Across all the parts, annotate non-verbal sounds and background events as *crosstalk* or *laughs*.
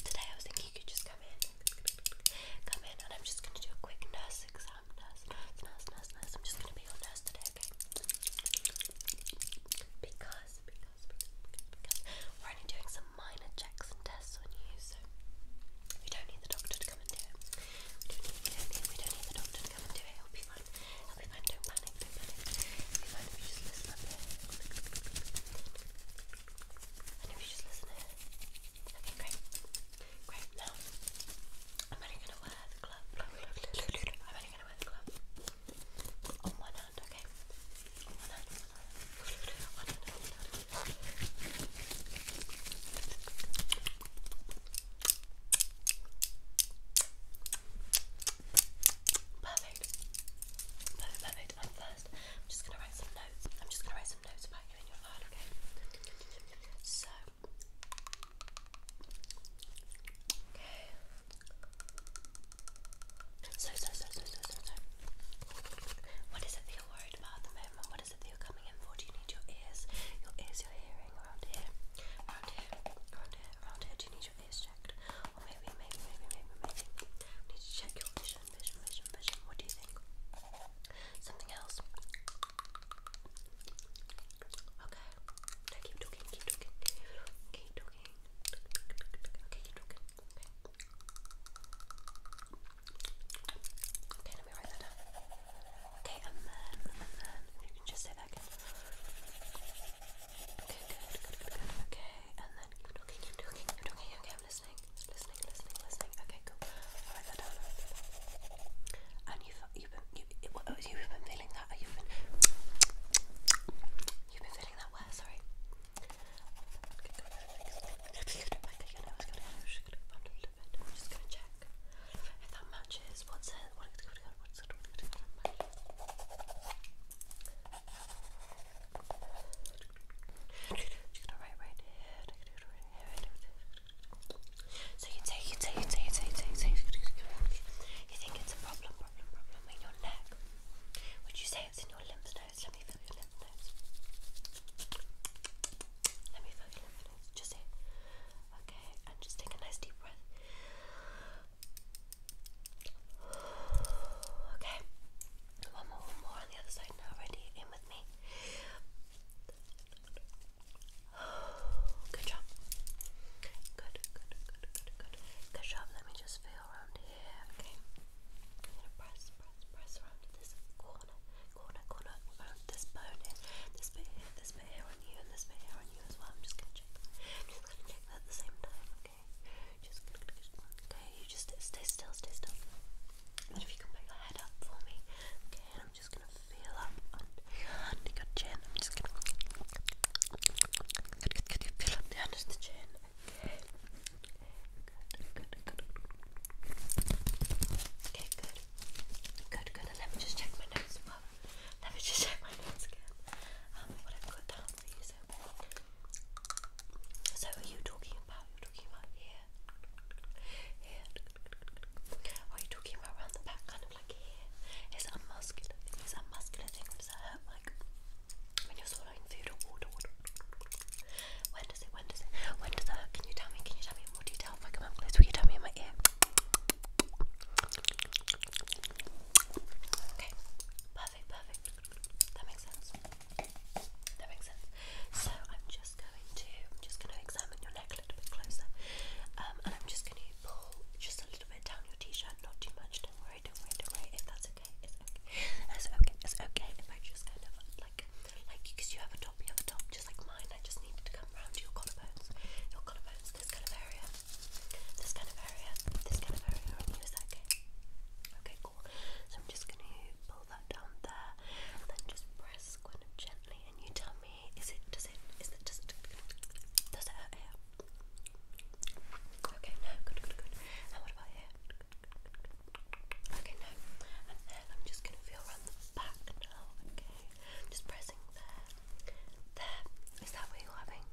Today I was thinking you could just come in, come in, and I'm just going to do a quick nurse exam. Nurse, nurse, nurse, nurse, nurse. I'm just going to be your nurse today, okay? Because, because, because, because we're only doing some minor checks and tests on you, so we don't need the doctor to come and do it. We don't need, we don't need, we don't need the doctor to come and do it. It'll be fine. It'll be fine. Don't panic panic, don't panic. It'll be fine if you just listen up here. And if you just listen here. Okay, great. Great, now I'm only gonna wear the glove. I'm only gonna wear the glove. On one hand, okay? On one hand, on one hand. On one hand, on one hand. Okay, Perfect. Perfect, perfect. And first, I'm just gonna write some notes. I'm just gonna write some notes about you in your file, okay? So Okay. so so so so so so What is it that you're worried about at the moment? What is it that you're coming in for? Do you need your ears? Your ears, your hearing around here? Around here, around here, around here. Do you need your face checked. Or maybe, maybe, maybe, maybe, maybe. need to check your vision, vision, vision, vision. What do you think? Something else. Okay. let me write that down. Okay, and then, and then, you can just say that Okay, good, good, good, good. Okay, and then keep talking, keep Okay, I'm listening, listening, listening, listening. Okay, cool. i And you've you've been you, you've been feeling that. You've been you've been feeling that where? Sorry so you take, you take, you take, you take, you take, you think it's a problem, problem, problem in your neck? Would you say it's in your lymph nodes? Let me feel your lymph nodes. Let me feel your lymph nodes. Just say, Okay, and just take a nice deep breath. Okay, one more, one more on the other side now. Ready? In with me. Good job. Good, good, good, good, good. Good job. Let me just feel around here. Okay. I'm gonna press, press, press around this corner, corner, corner, around this bone here, this bit here, this bit here, on you and this bit here on you as well. I'm just gonna check that. at the same time, okay? okay, you just stay still, stay still. And if you can put your head up for me, okay, and I'm just gonna feel up under, your chin. just gonna feel up under the chin. Okay. Okay, good. Good, good. let me just check my nose let me just check my notes again. Um, what I've got down for you. So, are you talking about? You're talking about here, here. are you talking about around the back, kind of like here? Is it muscular Is it muscular Does it hurt like when you're swallowing food or water? When does it? When does it? When does it hurt? Can you tell me? Can you tell me in more detail? If I come up close, will you tell me in my ear? Okay, perfect, perfect. That makes sense. That makes sense. So I'm just going to, I'm just going to examine your neck a little bit closer, um, and I'm just going to pull just a little bit down your t-shirt, not too much. Don't worry, don't worry, don't worry. If that's okay, it's okay. It's okay. It's okay. If I just kind of like, like, you have a top, you have a top just like mine, I just needed to come round your collarbones, your collarbones, this kind of area, this kind of area, this kind of area, and use that, okay? Okay, cool. So I'm just going to pull that down there, and then just press kind of gently, and you tell me, is it, does it, is it, does it, does it hurt here? Okay, no, good, good, good. And what about here? Okay, no. And then I'm just going to feel around the back now, okay? Just pressing there. There. Is that where you're having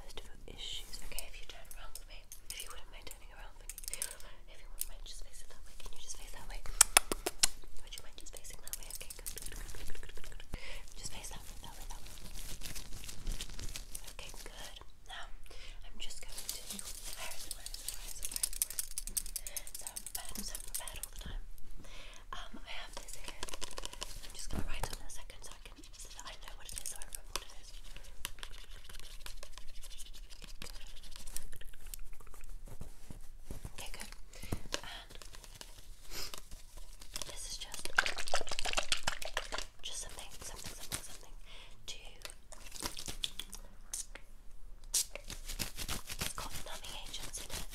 most of your issues? Okay, if you turn around with me, if you wouldn't mind turning around with me, if you wouldn't mind, just face that way, can you just face that way? Would you mind just facing that way? Okay, good, Just face that way, Okay, good. Now, I'm just going to prepared, i so prepared all the time. Um, I have this here. I'm just gonna write on a second so I can I know what it is I remember what it is. Okay, good. this is just just something, something, something, something to it's got numbing agents in it.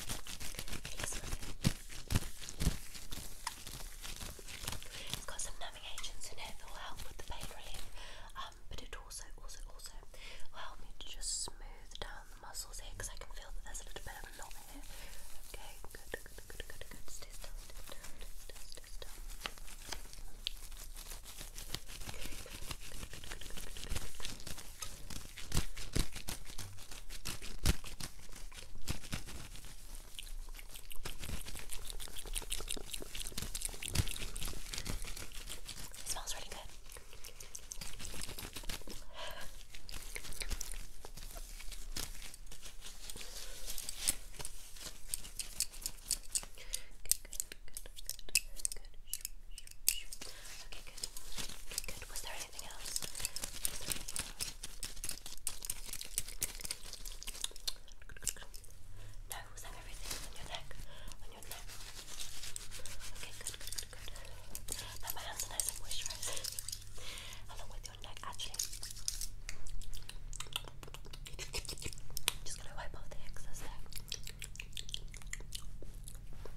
it's got some numbing agents in it that will help with the pain relief, um, but it also, also, also will help me to just smooth down the muscles here because I can feel that there's a little bit of a knot here. Okay, good, good, good, good, good. Stay still, stay still, still. still. It smells really good. Okay, good good. Okay, good. Good. Was there anything else? No, was that everything on your neck? On your neck? Okay, good, good, good, good. my hands are nice and moisturized. Along with your neck, actually. Just gonna wipe off the excess there. Yum,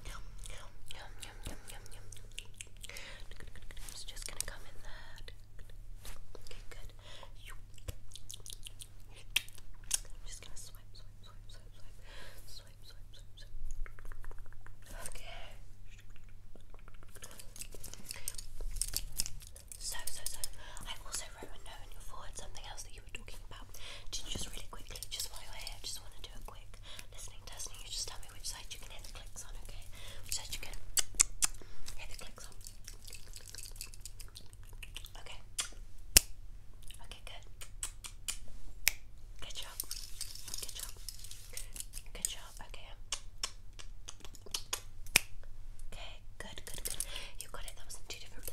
yum, yum, yum, yum. It's just gonna come in that. Okay, good. I'm just gonna swipe, swipe, swipe, swipe, swipe, swipe, swipe, swipe, Okay. So, so, so. I also wrote a note on your forehead, something else that that you talking about. Just really quickly, just while you're here, just want to do a quick listening testing. You just tell me which side you can hear the clicks on, okay? Which side you can hear the clicks on. Okay. Okay, good. Good job. Good job. Good job. Okay. Um. Okay, good, good, good. You got it. That was in two different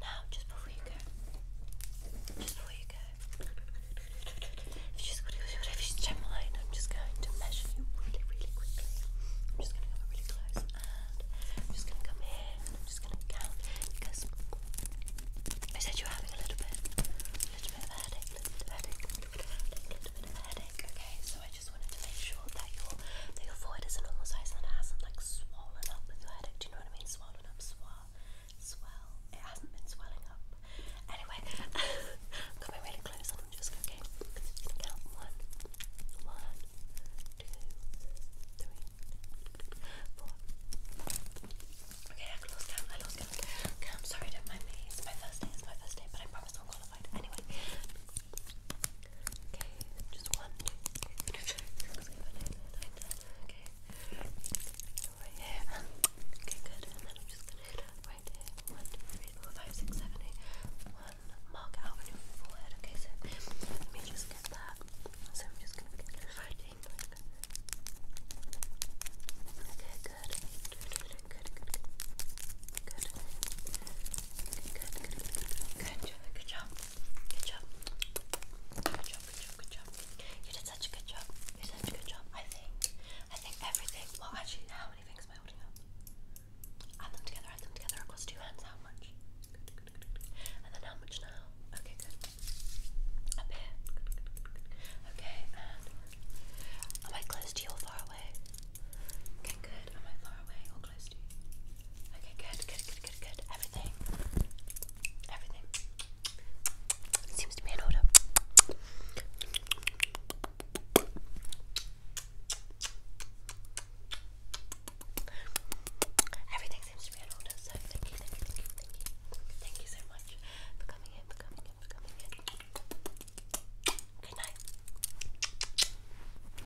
now, just before you go, just before you go, if you just want I'm just going to measure you really, really quickly. I'm just going to come really close and I'm just going to come here and I'm just going to count because I said you are having a little bit, of a headache, a little bit of a headache, a little bit of a headache, a little bit of a headache. Okay, so I just wanted to make sure that your that your forehead is a normal size and it hasn't like swollen up with your headache. Do you know what I mean? Swollen it hasn't been swelling up. Anyway, *laughs* coming really close I'm just going okay, to count one, one, two, three, four. Okay, I lost count, I lost count. Okay, I'm sorry, don't mind me. It's my first day, it's my first day, but I promise I'm qualified. Anyway, Okay, just one. Okay, right here. Okay, good. And then I'm just gonna right here. One, two, three, four, five, six, seven, eight. One mark out on Okay, so let me just get that. So I'm just gonna get it right Okay, good. Good, good, good. Good. Good, good, good, good, good, good, good job, good job. Good job. Good job, good job, good job. You did such a good job. You did such a good job. I think. I think everything. Well, actually, how many things am I holding up? Add them together, add them together across two hands. How much? And then how much now? Okay, good. Up here. Okay, Am I close to you or far away? Okay, good. Am I far away Okay, good, good, good, good, good. Everything. Everything seems to be in order. Everything seems to be in order, so thank you, thank you, thank you, thank you. Thank you so much for coming in, for coming in, for coming in. Good night.